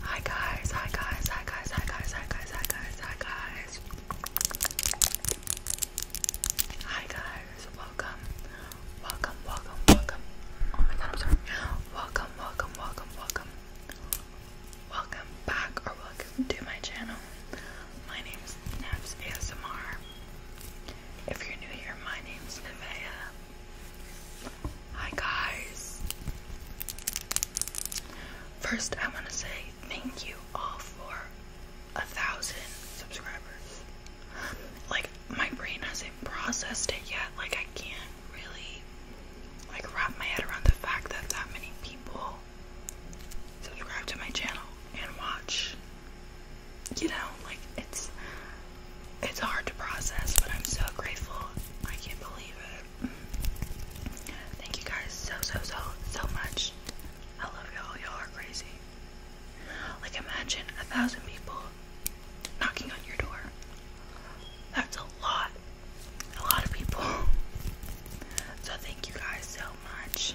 Hi guys, hi guys, hi guys, hi guys, hi guys, hi guys, hi guys. Hi guys, welcome. Welcome, welcome, welcome. Oh my god, Welcome, welcome, welcome, welcome. Welcome back or welcome to my channel. My name's Naps ASMR. If you're new here, my name's Nevea. Hi guys. First, I want to say thank you all for a thousand subscribers. Like my brain hasn't processed it yet. Like I can't really like wrap my head around the fact that that many people subscribe to my channel and watch you know, like it's it's hard to process, but I'm so grateful. I can't believe it. Thank you guys so so so so much. I love y'all. Y'all are crazy. Like imagine a thousand people knocking on your door. That's a lot. A lot of people. So thank you guys so much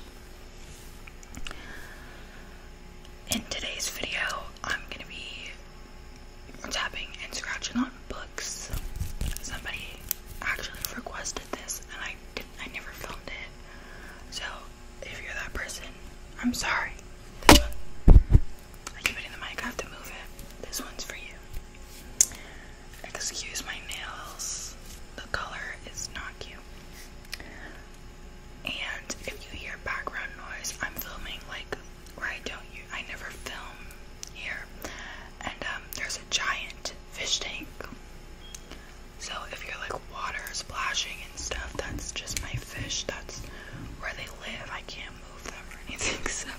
in today's video, I'm gonna be tapping and scratching on books. Somebody actually requested this, and I didn't, I never filmed it. So if you're that person, I'm sorry. I keep it the mic. I have to move it. This one's for you. Excuse my nails. The color is not cute. And if you hear background noise, I'm filming like where I don't I never film here. And um, there's a giant fish tank. So if you're like water splashing and stuff, that's just my fish. That's where they live. I can't move them or anything. So,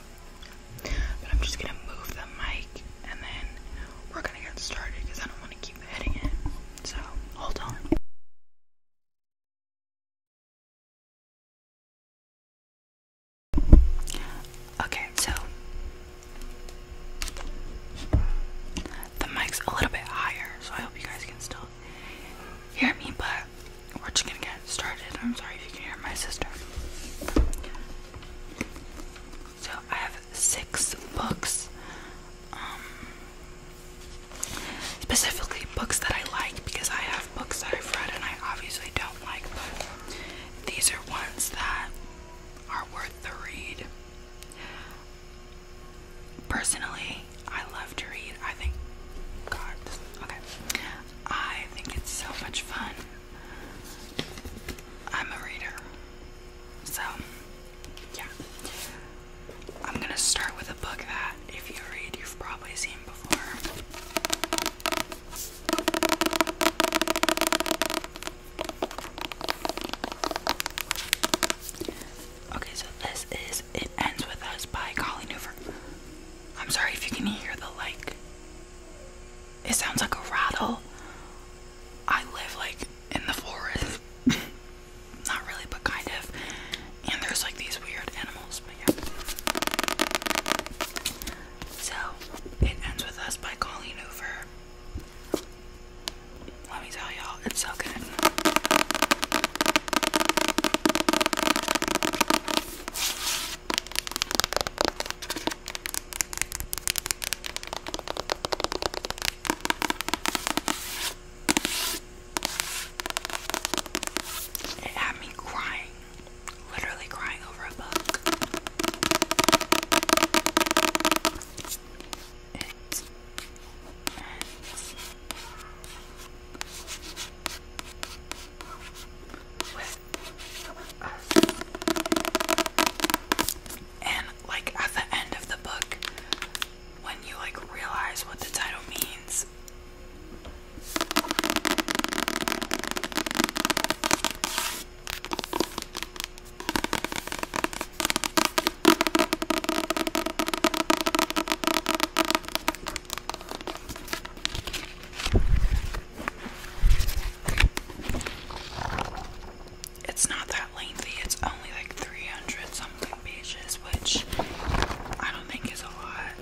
but I'm just gonna move the mic and then we're gonna get started because I don't want to keep hitting it. So hold on. Okay, so the mic's a little bit higher, so I hope you guys can still hear me, but we're just gonna get started. I'm sorry if you can hear my sister. So I have six books. Um, specifically books that I like because I have books that I've read and I obviously don't like, but these are ones that are worth the read. Personally, I love to read. I think, God, okay, I think it's so much fun. I'm a reader, so yeah. I'm gonna start with a book that, if you read, you've probably seen before. Okay, so this is It Ends With Us by Colleen Hoover. I'm sorry if you can hear the like. It sounds like a rattle. I live like in the forest. Not really, but kind of. And there's like these weird animals, So it ends with us by Colleen Hoover. Let me tell y'all, it's so good. It had me crying, literally crying over a book. with us. And like at the end of the book, when you like realize what the title means, it's not that lengthy, it's only like 300 something which I don't think is a lot.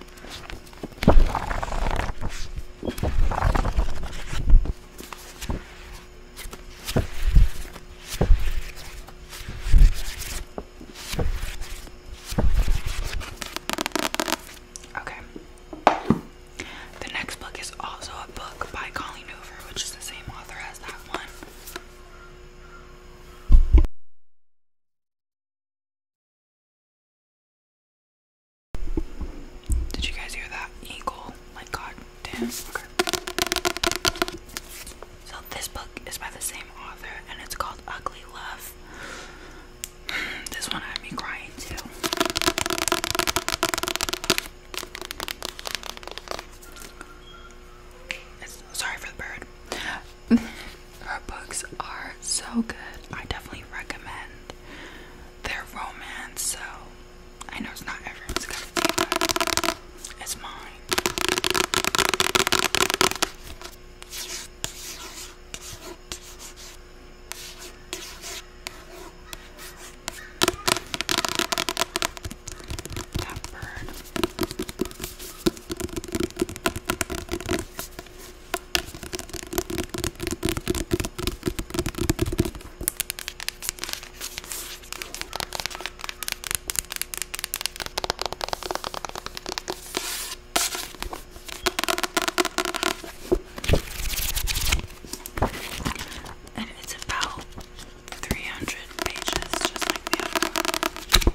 Okay. The next book is also a book by Colleen Hoover, which is the same author as that one. Did you guys hear that eagle? Like god So this book is by the same author and it's called Ugly Love. This one had me crying too. It's, sorry for the bird. Her books are so good. I definitely recommend their romance. So I know it's not everyone's cup of tea, it's mine. That bird. And it's about 300 pages, just like the other one.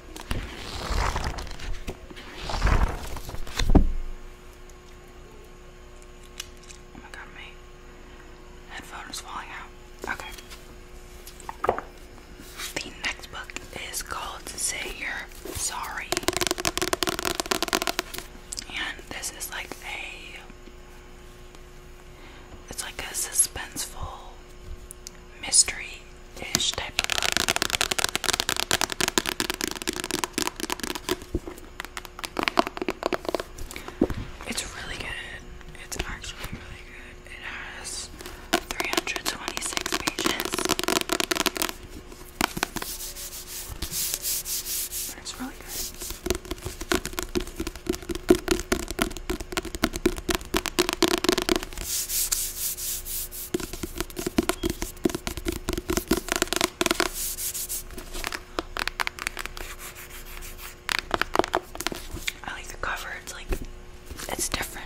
Oh my god, my headphone is falling out. Okay. The next book is called Say You're Sorry. And this is like a it's like a suspenseful mystery it's really good. It's actually really good. It has 326 pages. it's really good. I like the cover, it's like it's different.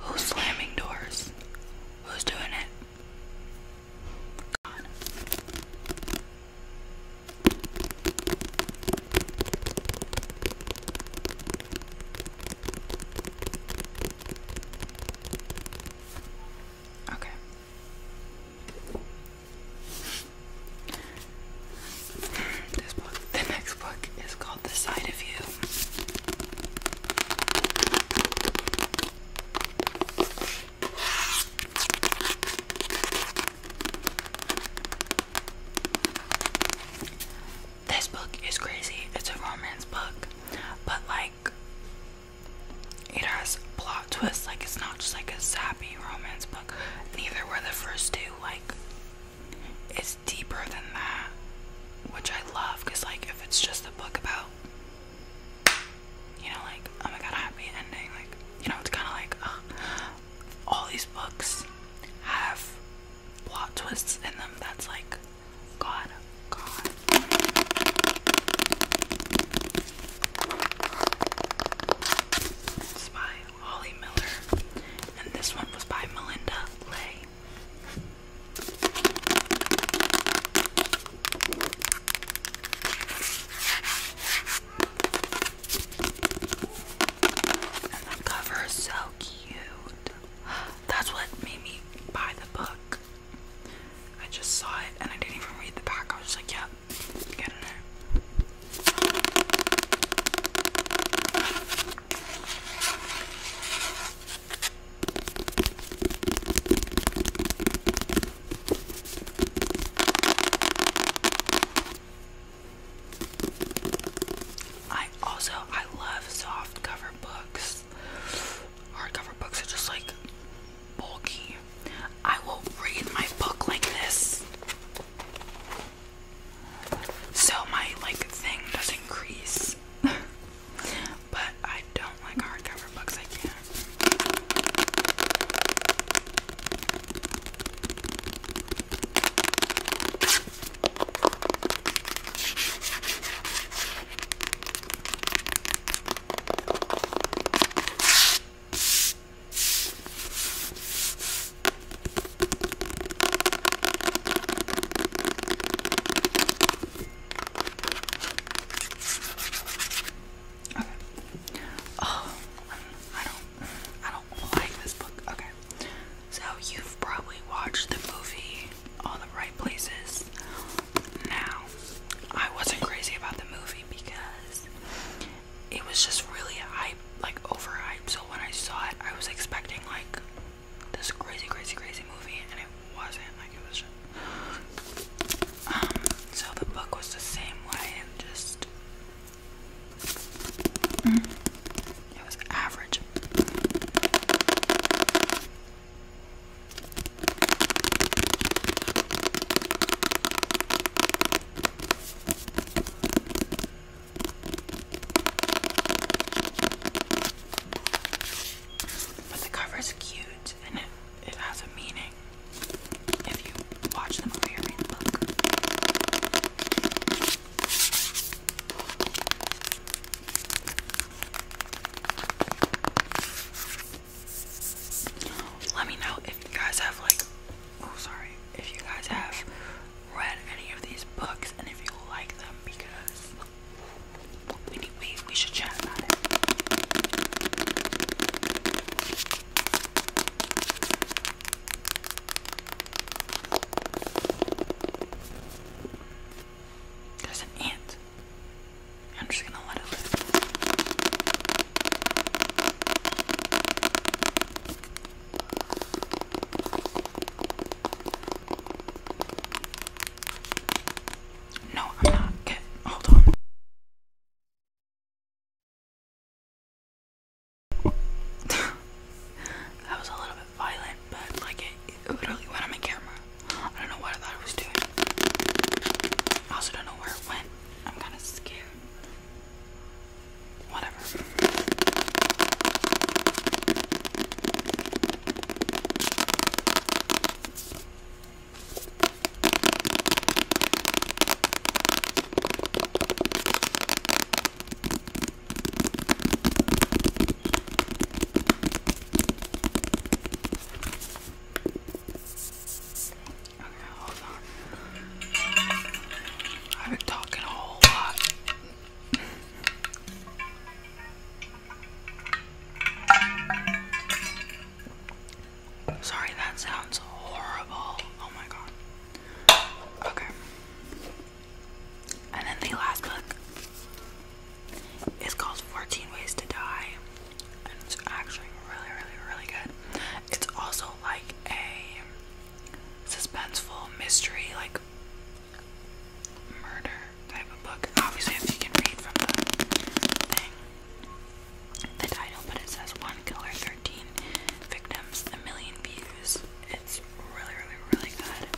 Who's slamming doors? Who's doing it? God. Okay. This book, the next book is called The Side of You. This book is crazy. It's a romance book, but like it has plot twists, like it's not just like a sappy romance book. Neither were the first two, like it's deeper than that, which I love because, like, if it's just a book about, you know, like, oh my god, a happy ending, like, you know, it's kind of like all these books have plot twists in them that's like, god, god. It's by Holly Miller, and this one was by Melinda Lay. And the cover is so cute. That's what made me buy the book. I just saw it and I didn't even read the back. I was just like, yep, I also I love soft cover books. Hardcover books are just like bulky. I will read my book like this. So my like thing doesn't crease. but I don't like hardcover books, I can't. Oh, I don't, I don't like this book. Okay. So you've probably watched the movie All the Right Places. Now, I wasn't crazy about the movie because it was just really hype, like overhyped. So when I saw it, I was expecting like this crazy, crazy, crazy movie, and it wasn't. Like it was just. Um, so the book was the same way, and just. it was average. But the cover is cute and it, it has a meaning if you watch the movie or read the book. Let me know if you guys have like oh sorry, if you guys have read any of these books and if you like them because we we should chat about it. There's an ant. I'm just gonna let it live. No, I'm not. hold on. that was a little bit violent, but like it literally went on my camera. I don't know what I thought I was doing. I also don't know where it went. I'm kind of scared. Whatever. Okay, hold on. I've been talking a whole lot. Sorry, that sounds horrible. Oh my god. Okay. And then the last book is called 14 Ways to Die it's actually really, really, really good. It's also like a suspenseful mystery, like murder type of book. Obviously, if you can read from the thing, the title, but it says One Killer, 13 Victims, a Million Views. It's really, really, really good.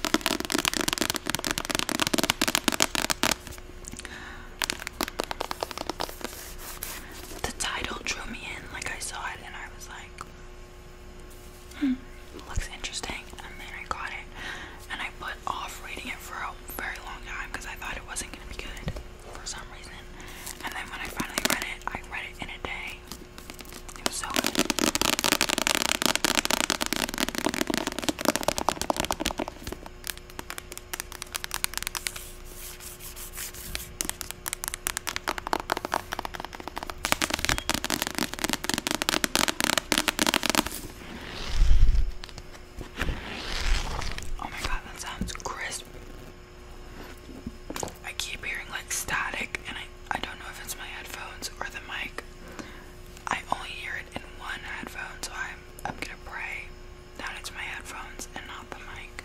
The title drew me in, like I saw it and I was like, hmm, looks interesting. And then I got it and I put off reading it for a very long time because I thought it wasn't going to be good for some reason. And then when I finally read it, I read it in a day. It was so good. Oh my god, that sounds crisp. I keep hearing like static, and I, I don't know if it's my headphones or the mic. I only hear it in one headphone, so I'm, I'm gonna pray that is my headphones and not the mic.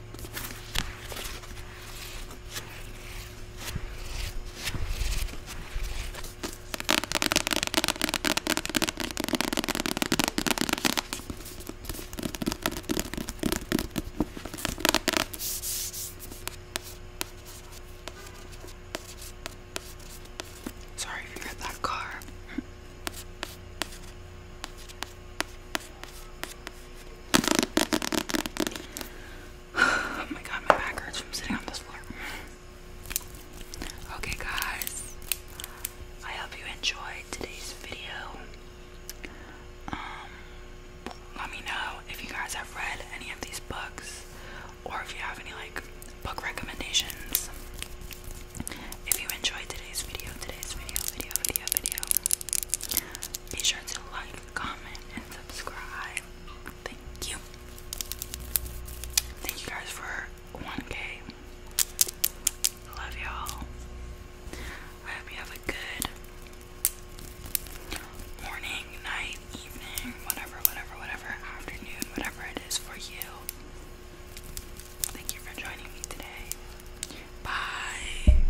Sorry if you heard that car. oh my god, my back hurts from sitting on this floor. Okay, guys, I hope you enjoyed today's video. Um, let me know if you guys have read any of these books or if you have any like book recommendations. If you enjoyed today's video, today's video, video, video, video, be sure to like, comment, and subscribe. Thank you. Thank you guys for 1K. Love y'all. I hope you have a good morning, night, evening, whatever, whatever, whatever, afternoon, whatever it is for you. Thank you for joining me today. Bye.